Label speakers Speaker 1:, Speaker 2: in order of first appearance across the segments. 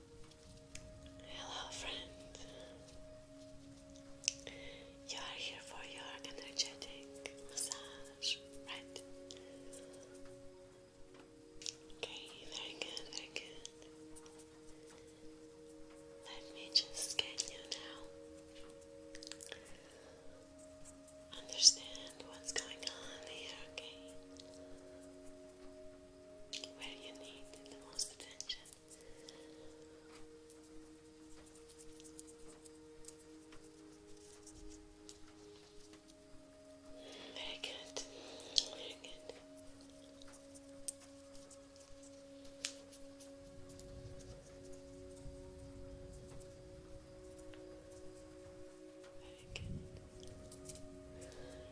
Speaker 1: Hello, friend. You are here for your energetic massage, right? Okay, very good, very good. Let me just scan you now. Understand what's going on here, okay? where you need the most attention. Very good, very good.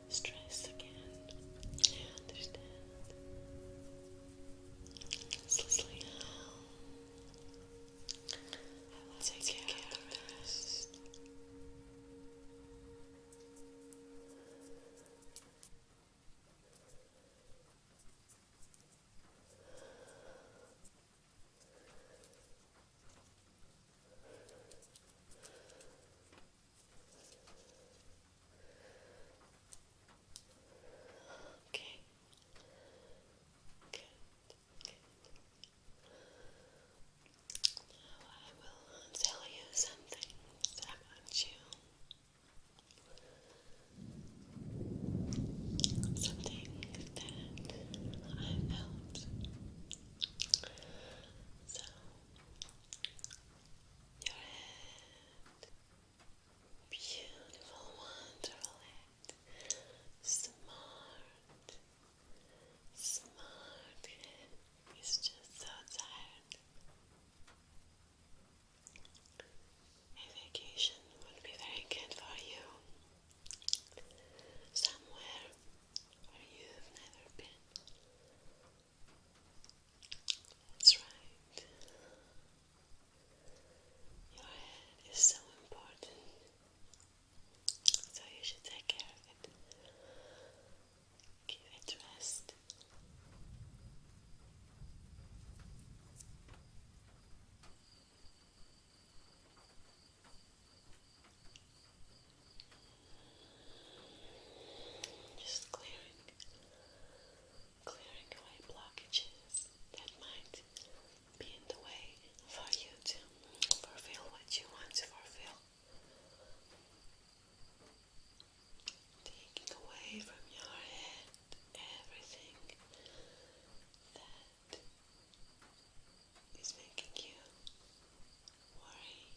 Speaker 1: Stress again. understand. Sleep now. take care, of the Okay. Good. Now I will tell you something about you. Something that I felt so your head, beautiful, wonderful smart, smart head. It's just so tired. A vacation would be very good for you somewhere where you've never been. That's right. Your head is so important, so you should take care of it. Give it rest. Just clearing, clearing away blockages that might be in the way for you to fulfill what you want to fulfill. Taking away from your head everything that that is making you worry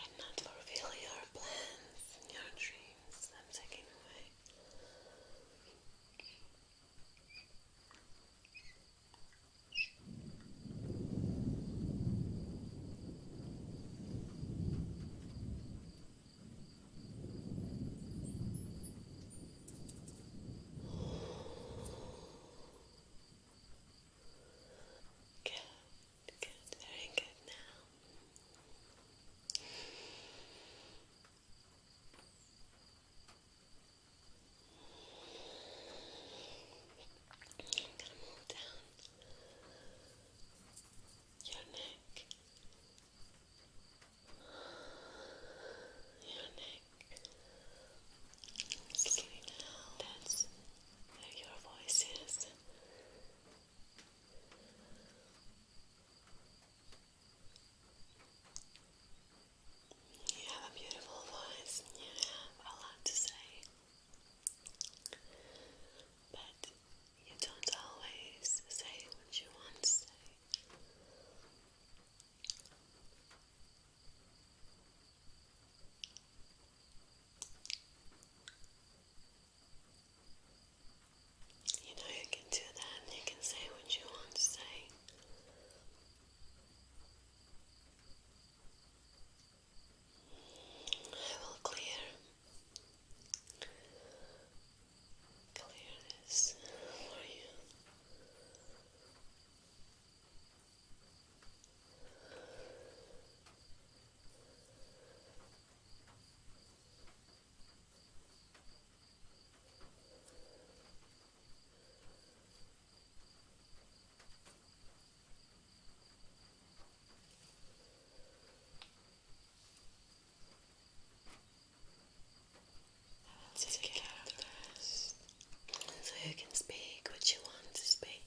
Speaker 1: and not fulfill your plans your dreams. I'm taking away. you. Good, good, very good now. I'm gonna move down your neck your neck is getting down. your voice is. You have a beautiful voice you have a lot to say. But you don't always say what you want to say. You know, you can do that you can say what you want to say. I will clear clear this for you. I take care of the So you can speak what you want to speak.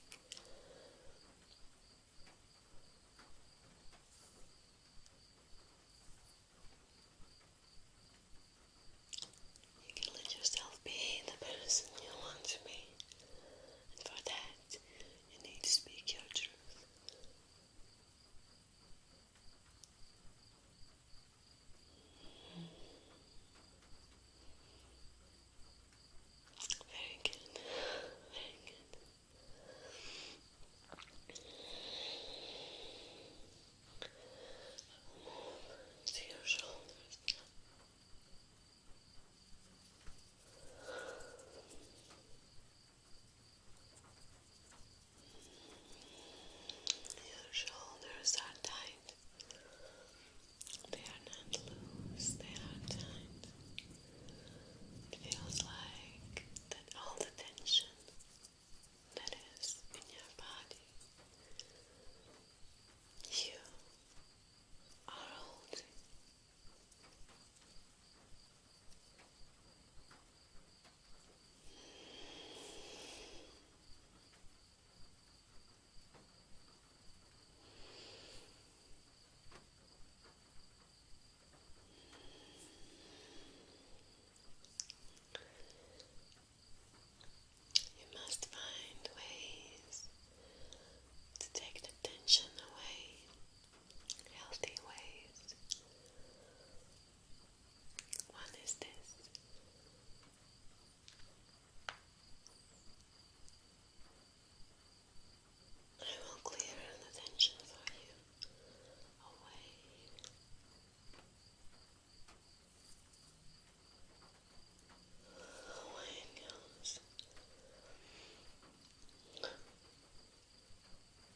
Speaker 1: You can let yourself be the person you want to be, and for that, you need to speak your truth. Very good. Very good. Move to your shoulders your shoulders are tight. They are not loose, they are tight. It feels like that all the tension that is in your body, you are holding. You must find ways to take the tension away, healthy ways. What is this? I will clear the tension for you away. Away it goes.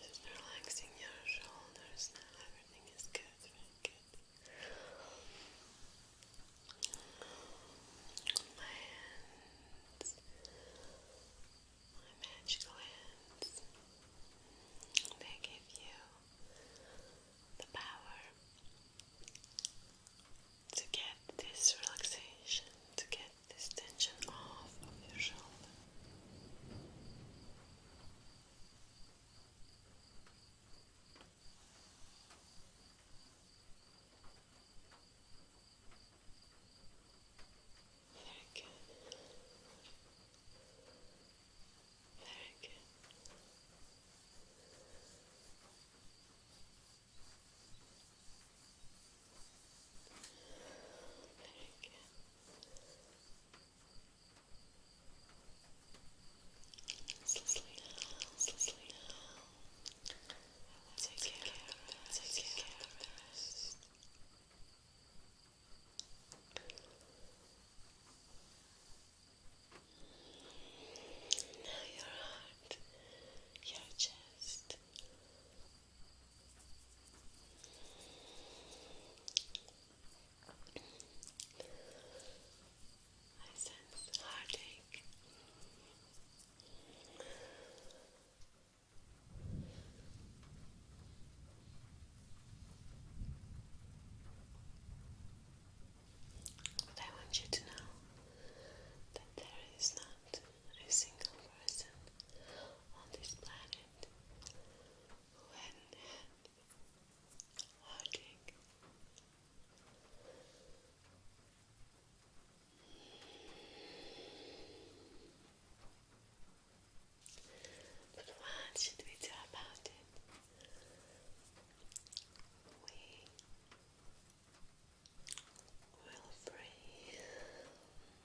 Speaker 1: Just relaxing your shoulders now, everything is good, My hands, my magical hands, they give you the power to get this relaxation, to get this tension off of your shoulder. Very good. Very good. Very good. now, slowly now. Take care, take care, rest. Now your heart, your chest, I sense heartache. But I want you to know that there is not a single person on this planet when watching but what should we do about it? We will breathe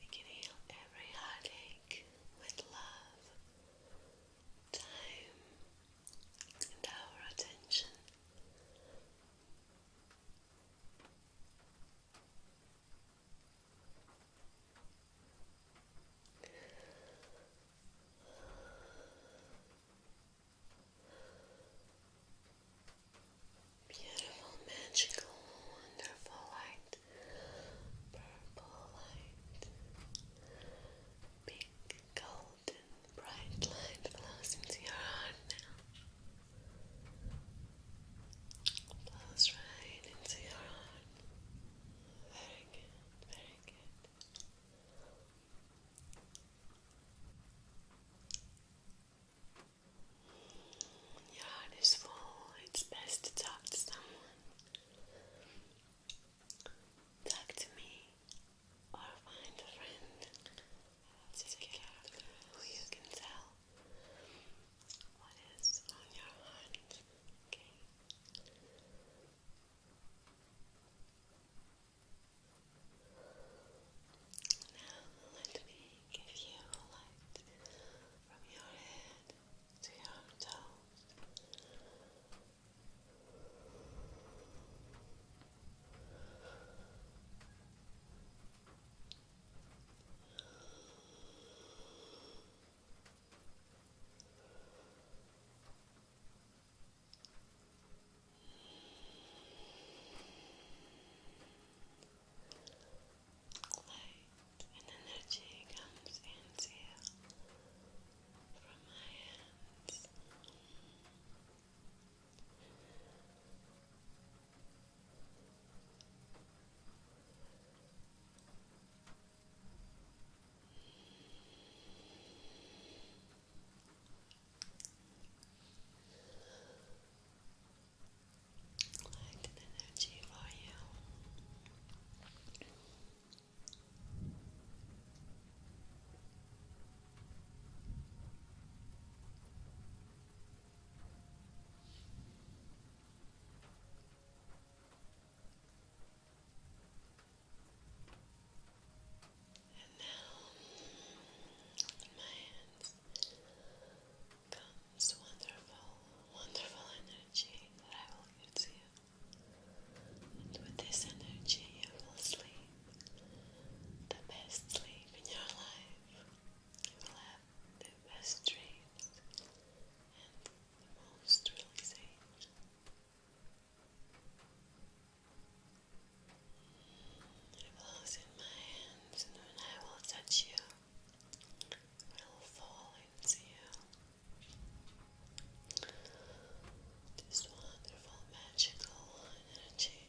Speaker 1: We can heal every heartache with love, time, and our attention. Beautiful, magical, wonderful light, purple light, pink, golden, bright light flows into your heart now. Flows right into your heart. Very good, very good. Your heart is it's best to talk to someone. Talk to me or find a friend. I'll you who you can tell what is on your heart. Okay. Now let me give you light from your head to your toes. Light and energy comes into you from my hands. Light and energy for you. And now on my hands comes wonderful, wonderful energy that I will give to you. And with this energy, you will sleep the best sleep in your life. You will have the best dreams and the most relaxation. Close in my hands, and when I will touch you, will fall into you. This wonderful, magical energy.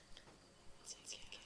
Speaker 1: Take care of